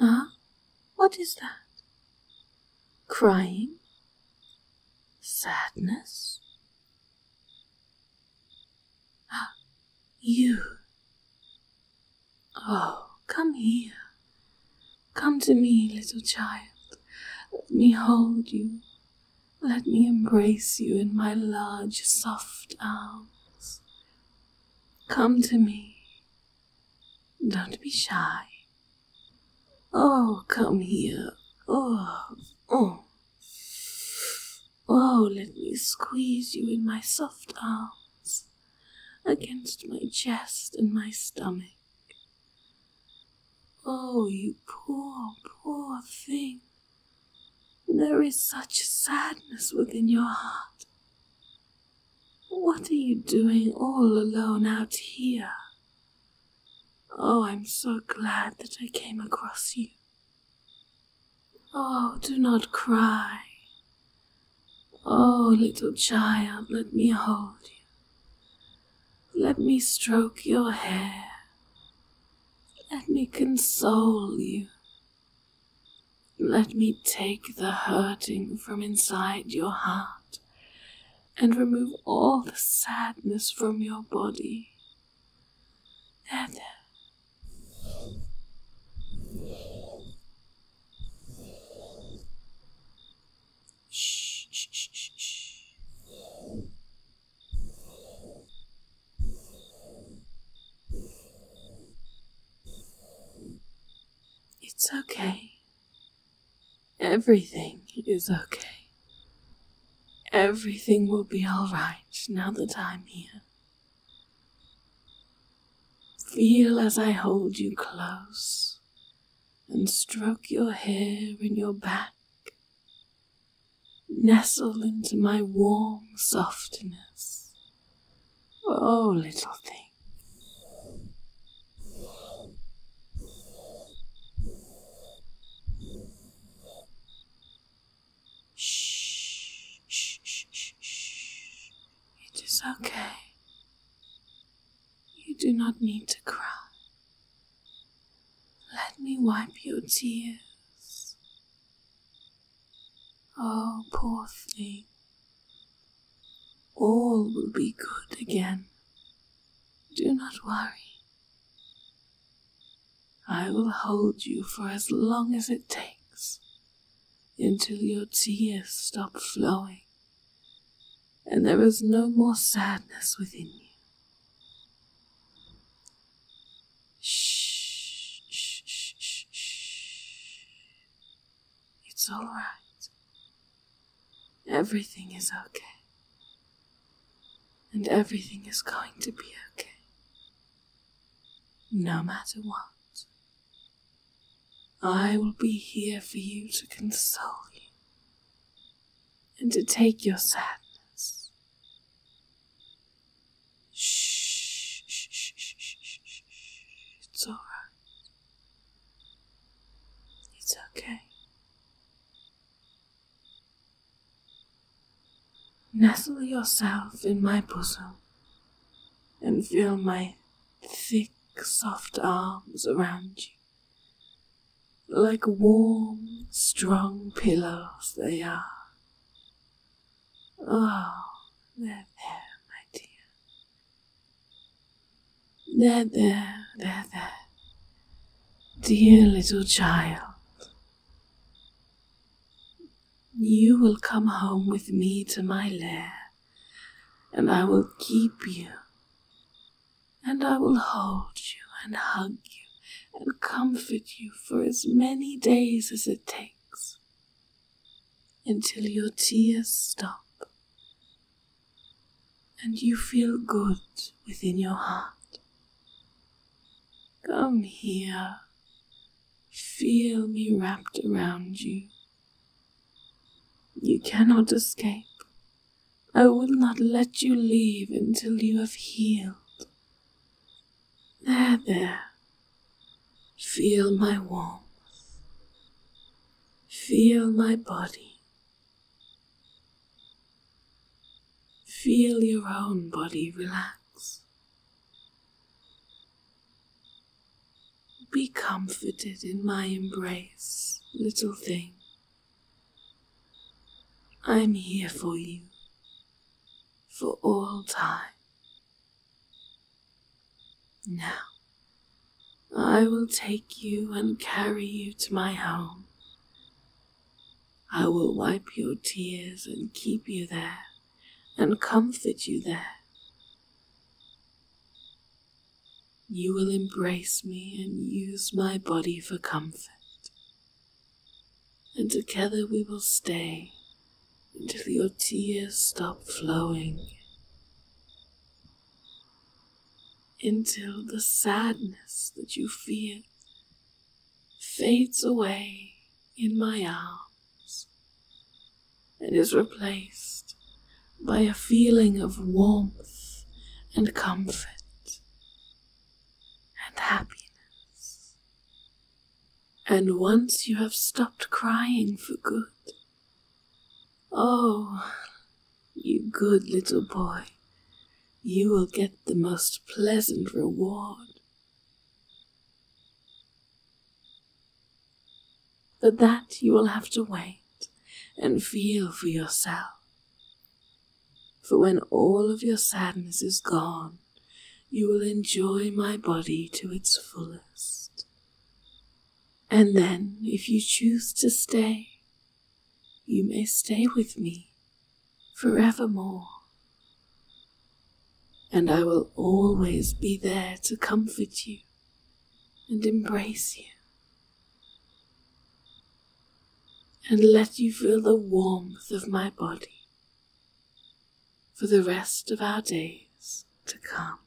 Ah, what is that? Crying? Sadness? Ah, you. Oh, come here. Come to me, little child. Let me hold you. Let me embrace you in my large, soft arms. Come to me. Don't be shy. Oh, come here. Oh, oh. Oh, let me squeeze you in my soft arms, against my chest and my stomach. Oh, you poor, poor thing. There is such sadness within your heart. What are you doing all alone out here? Oh, I'm so glad that I came across you. Oh, do not cry. Oh, little child, let me hold you. Let me stroke your hair. Let me console you. Let me take the hurting from inside your heart and remove all the sadness from your body. There, Shh, shh, shh, shh. It's okay. Everything is okay. Everything will be alright now that I'm here. Feel as I hold you close and stroke your hair and your back nestle into my warm softness. Oh, little thing. Shh, shh, shh, shh, It is okay. You do not need to cry. Let me wipe your tears. Oh, poor thing. All will be good again. Do not worry. I will hold you for as long as it takes until your tears stop flowing and there is no more sadness within you. Shh, shh, shh, shh, It's all right. Everything is okay. And everything is going to be okay. No matter what. I will be here for you to console you and to take your sadness. Shh, shh, shh, shh, shh, shh. It's It's okay. Nestle yourself in my bosom and feel my thick, soft arms around you. Like warm, strong pillows, they are. Oh, they're there, my dear. They're there, they're there. Dear little child, you will come home with me to my lair, and I will keep you and I will hold you and hug you and comfort you for as many days as it takes until your tears stop and you feel good within your heart. Come here, feel me wrapped around you you cannot escape. I will not let you leave until you have healed. There, there. Feel my warmth. Feel my body. Feel your own body relax. Be comforted in my embrace, little thing. I'm here for you, for all time. Now, I will take you and carry you to my home. I will wipe your tears and keep you there and comfort you there. You will embrace me and use my body for comfort, and together we will stay until your tears stop flowing, until the sadness that you feel fades away in my arms. It is replaced by a feeling of warmth and comfort and happiness. And once you have stopped crying for good, oh, you good little boy, you will get the most pleasant reward but that you will have to wait and feel for yourself. For when all of your sadness is gone, you will enjoy my body to its fullest. And then, if you choose to stay, you may stay with me forevermore. And I will always be there to comfort you and embrace you and let you feel the warmth of my body for the rest of our days to come.